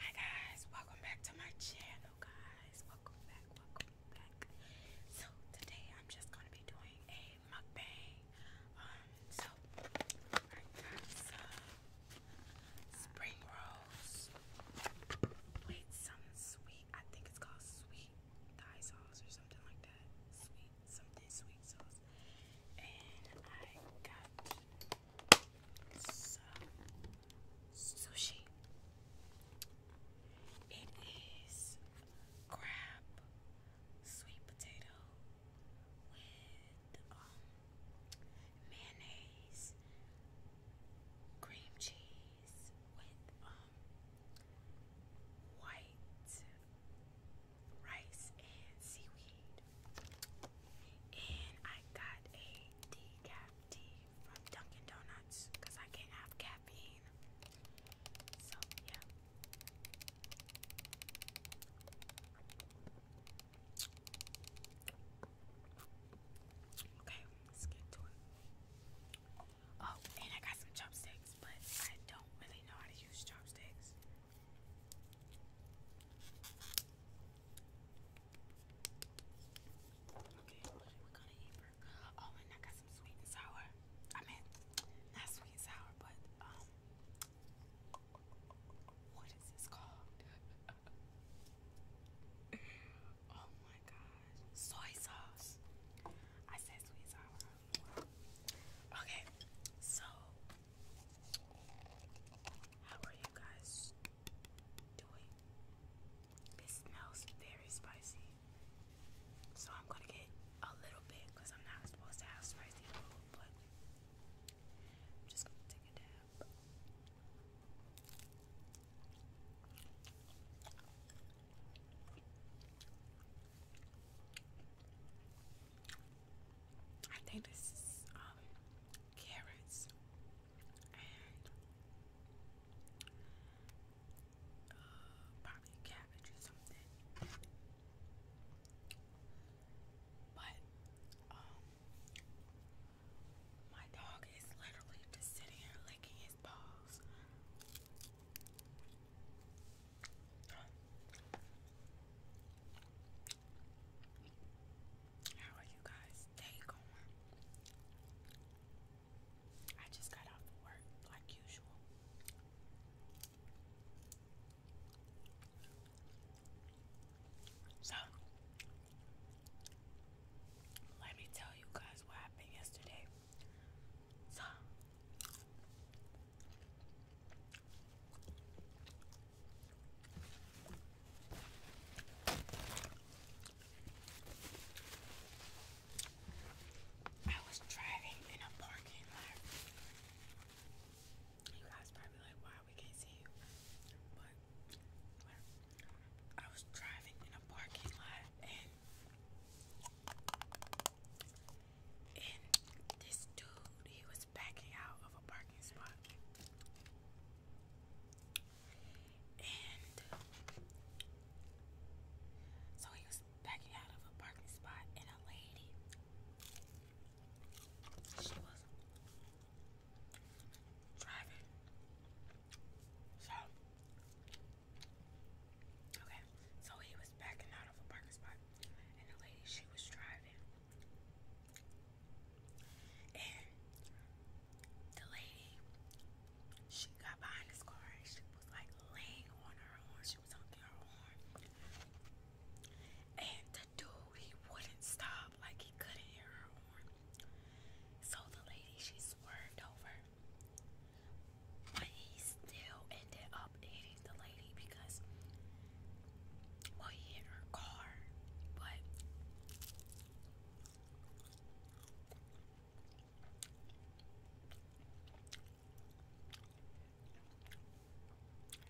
Hi guys, welcome back to my channel guys. Welcome back, welcome back. So today I'm just gonna be doing a mukbang. Um so some spring rolls with some sweet, I think it's called sweet thigh sauce or something like that. Sweet, something sweet sauce. And I got sushi. It is crab, sweet potato with um, mayonnaise, cream cheese with um, white rice and seaweed. And I got a decaf tea from Dunkin' Donuts because I can't have caffeine. So, yeah. Okay, let's get to it. Oh, and I got some chopsticks, but I don't really know how to use chopsticks. Okay, what are we gonna eat for? Oh, and I got some sweet and sour. I mean, not sweet and sour, but um, what is this called? oh my gosh, soy sauce. I said sweet and sour. Okay, so how are you guys doing? This smells very spicy. So I'm gonna get a little bit because I'm not supposed to have spicy food, but I'm just gonna take a dab. I think this is um carrots and uh, probably cabbage or something. But um my dog is literally just sitting here licking his paws. How are you guys day going? I just got off of work like usual. So let me tell you guys what happened yesterday. So I was driving in a parking lot. You guys probably like, wow, we can't see you. But I was driving in a parking lot and this dude dude, he was backing out of a parking spot. And so he was backing out of a parking spot, and a lady, she was driving. So, okay, so he was backing out of a parking spot, and the lady, she was driving. And the lady, she got behind this car she was like laying on her horn. She was honking her horn. And the dude, he wouldn't stop. Like he couldn't hear her horn. So the lady, she swerved over. But he still ended up hitting the lady because well, he hit her car, but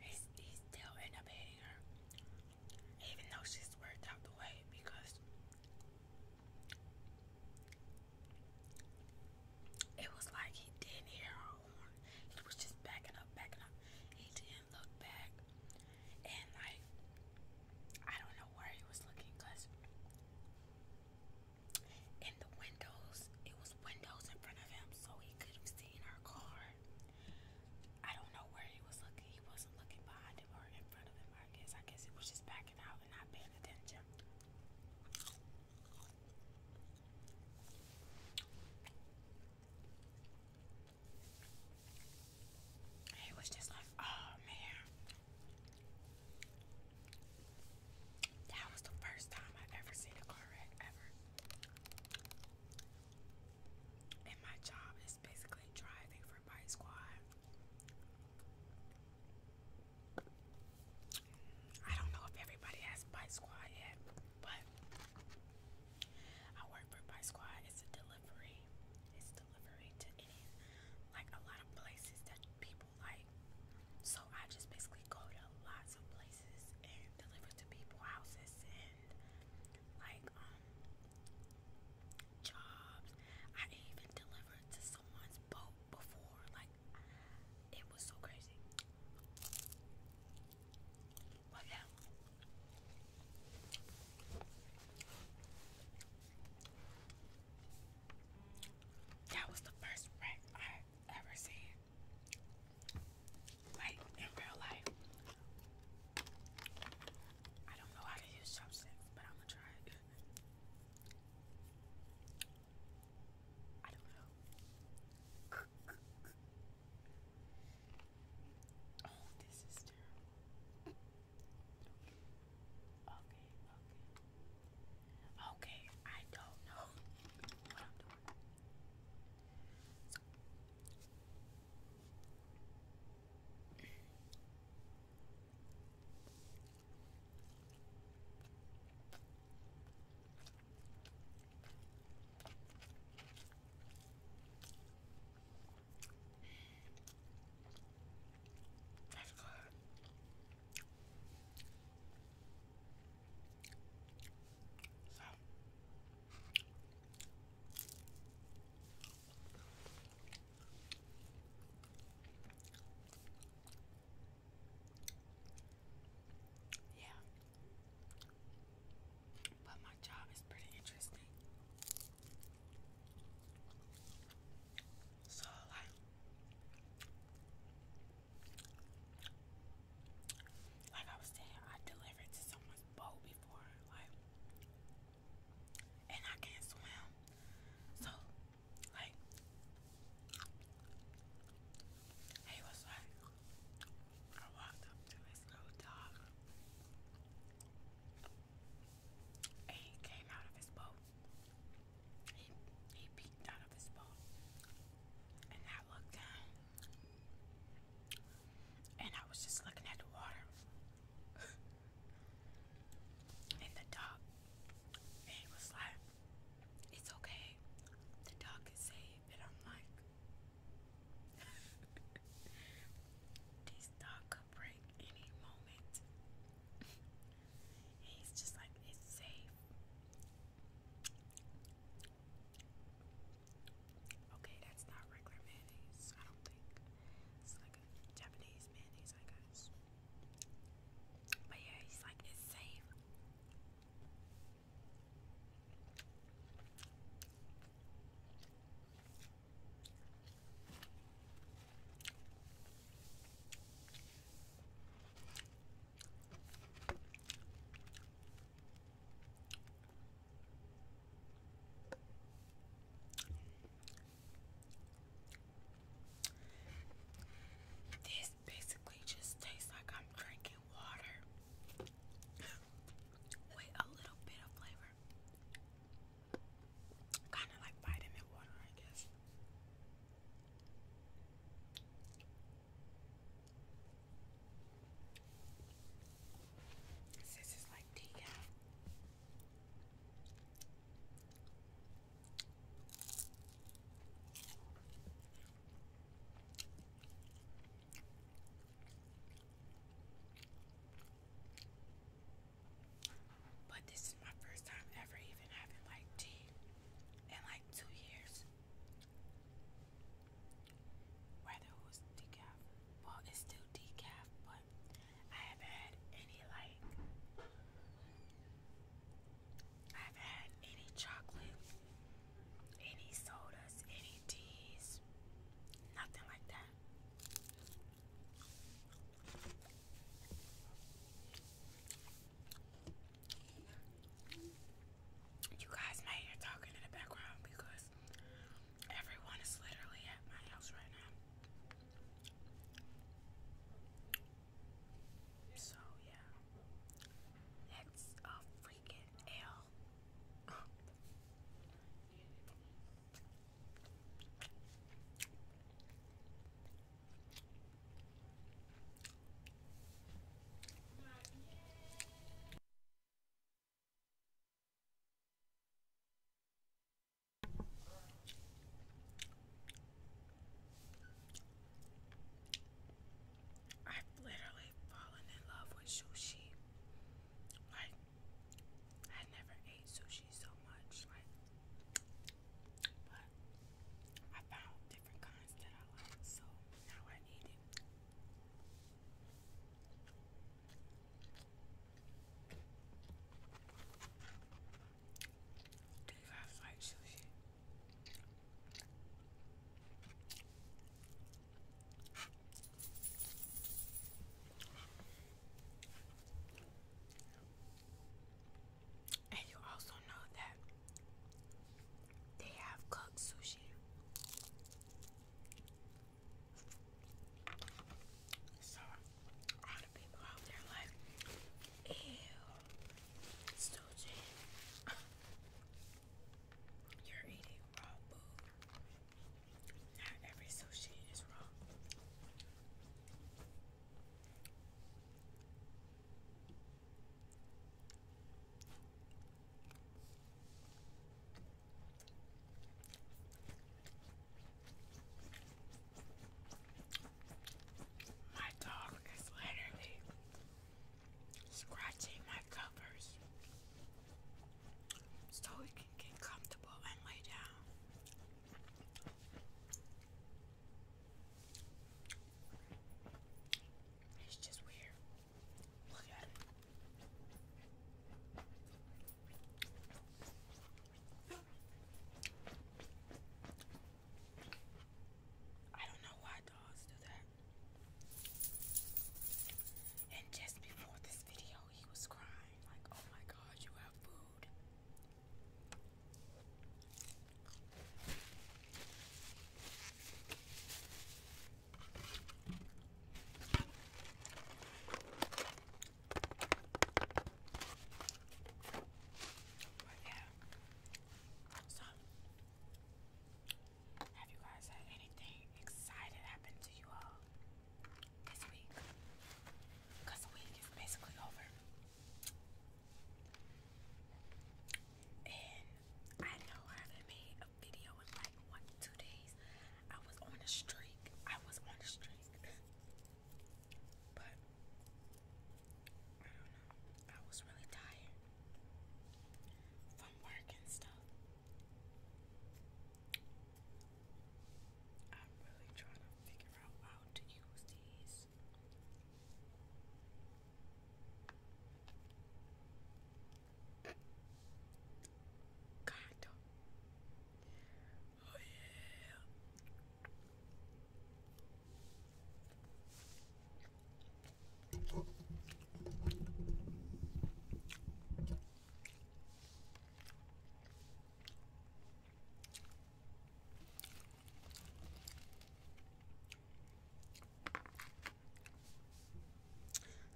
he still ended up hitting her, even though she swerved out the way because it was like he didn't hear her horn. He was just backing up, backing up. He did and back and like I don't know where he was looking because in the windows it was windows in front of him so he could have seen our car. I don't know where he was looking. He wasn't looking behind him or in front of him, I guess. I guess it was just backing out and not paying attention. It was just like, oh man. That was the first time I've ever seen a car wreck ever. And my job is basically driving for Bike Squad. I don't know if everybody has Bike Squad yet. But I work for Buy Squad. It's a delivery. It's delivery to any like a lot of places that people like. So I just basically go to lots of places and deliver to people houses and like um jobs. I even delivered to someone's boat before. Like it was so crazy. Well, yeah. That was the first wreck i ever seen. Like in real life. I don't know how to use chopsticks, but I'm gonna try I don't know. Oh, this is terrible. Okay, okay, okay. I don't know what I'm doing. That's good. So yeah. But my job is pretty interesting. So, like, like I was saying, I delivered to someone's boat before, like, and I can't swim. So, like, he was like, I walked up to his little dog and he came out of his boat. He, he peeked out of his boat and I looked and I was just looking at the water and the dog and he was like, it's okay, the dog is safe and I'm like this dog could break any moment. He's just like, it's safe. Okay, that's not regular mayonnaise, I don't think. It's like a Japanese mayonnaise, I But yeah, he's like, it's safe. This basically just tastes like I'm drinking water. with a little bit of flavor. Kind of like vitamin water, I guess. This is like tea, but this is my first time ever even having like tea in like two years. Whether it was decaf, well, it's still decaf, but I have had any like, I have had any chocolate any sodas, any teas, nothing like that. You guys may hear talking in the background because everyone is literally at my house right now. So yeah, that's a freaking L i literally really in love with sushi. Like, I never ate sushi so much. Like, but I found different kinds that I like, so now I eat it. Do you guys like sushi? And you also know that they have cooked sushi. So, all the people out there like, ew, sushi. You're eating not every sushi is raw. My dog is literally scratching my covers so we can get comfortable and lay down. It's just weird. Look at it. I don't know why dogs do that. And just before this video, he was crying like, oh my God, you have food. yeah, so have you guys had anything exciting happen to you all this week? Because the week is basically over. And I know I haven't made a video in like one two days. I was on a streak. I was on a streak. but I was really tired homework and stuff. I'm really trying to figure out how to use these. God. Oh yeah.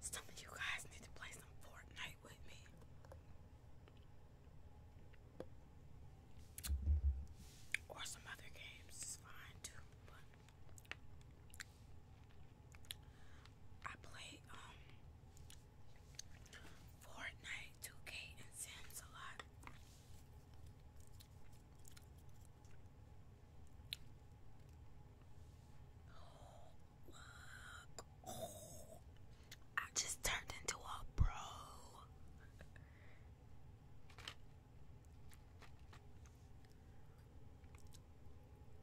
Some of you guys need to play some Fortnite with me. Or some other games fine too, I play um, Fortnite, 2K, and Sims a lot. Oh, I just turned into a bro.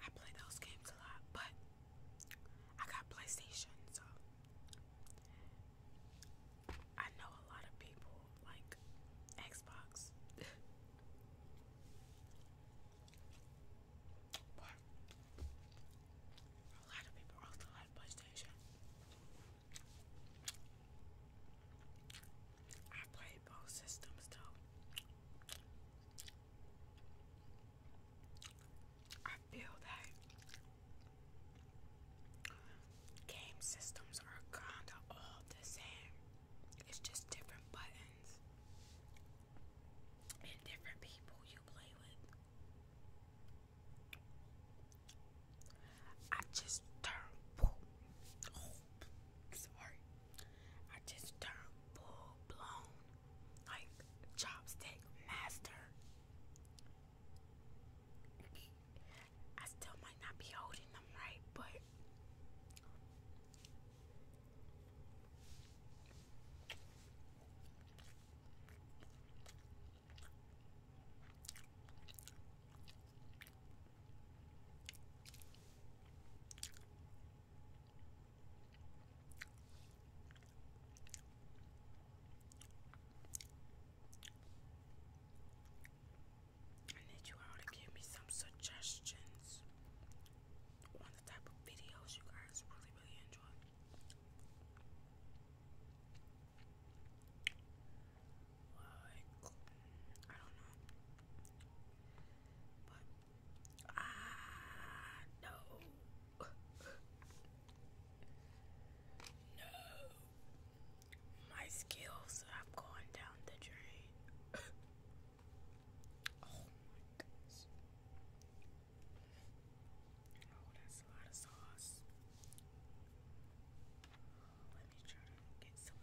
I play those games a lot, but I got PlayStation, so I know a lot of people like Xbox. a lot of people also like PlayStation. I played both systems though. I feel that game systems are kinda all the same. It's just different buttons and different people you play with. I just turned. Oh, sorry. I just turned full blown, like chopstick master. I still might not be holding them right, but I need you all to give me some suggestions on the type of videos you guys really, really enjoy. Like, I don't know. But ah no. no. My skills have gone down the drain. oh my goodness. Oh, that's a lot of sauce. Let me try to get some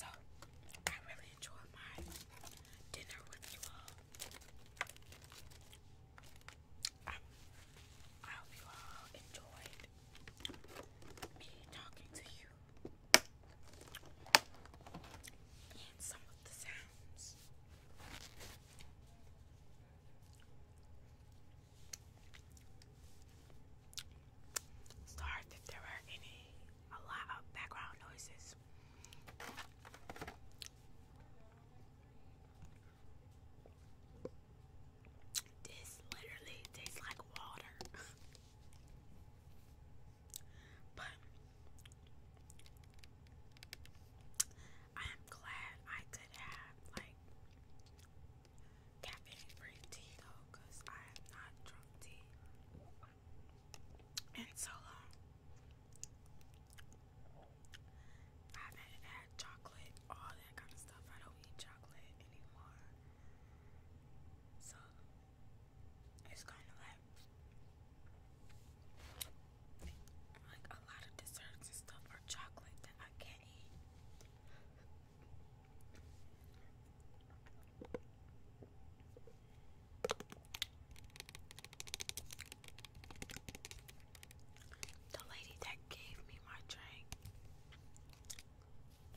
So, I really enjoyed my dinner with you all. I hope you all enjoyed me talking to you and some of the sounds. Start if there were any a lot of background noises. This literally tastes like water. but I am glad I could have like caffeine free tea though, because I have not drunk tea in so long. Um, I haven't had chocolate, all that kind of stuff. I don't eat chocolate anymore. So it's kind of like like a lot of desserts and stuff or chocolate that I can't eat. The lady that gave me my drink,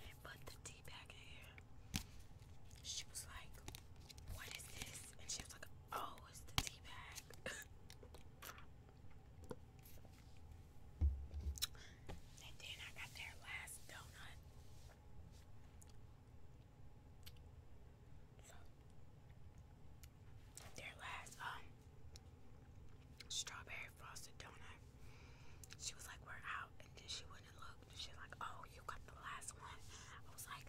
and the tea bag in here. She was like, What is this? And she was like, Oh, it's the tea bag. and then I got their last donut. So, their last um strawberry frosted donut. She was like, we're out. And then she wouldn't look. And she's like, oh, you got the last one. I was like,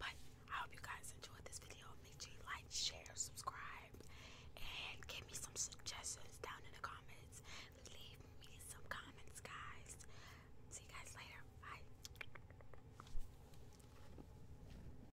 But I hope you guys enjoyed this video. Make sure you like, share, subscribe, and give me some suggestions down in the comments. Leave me some comments, guys. See you guys later. Bye.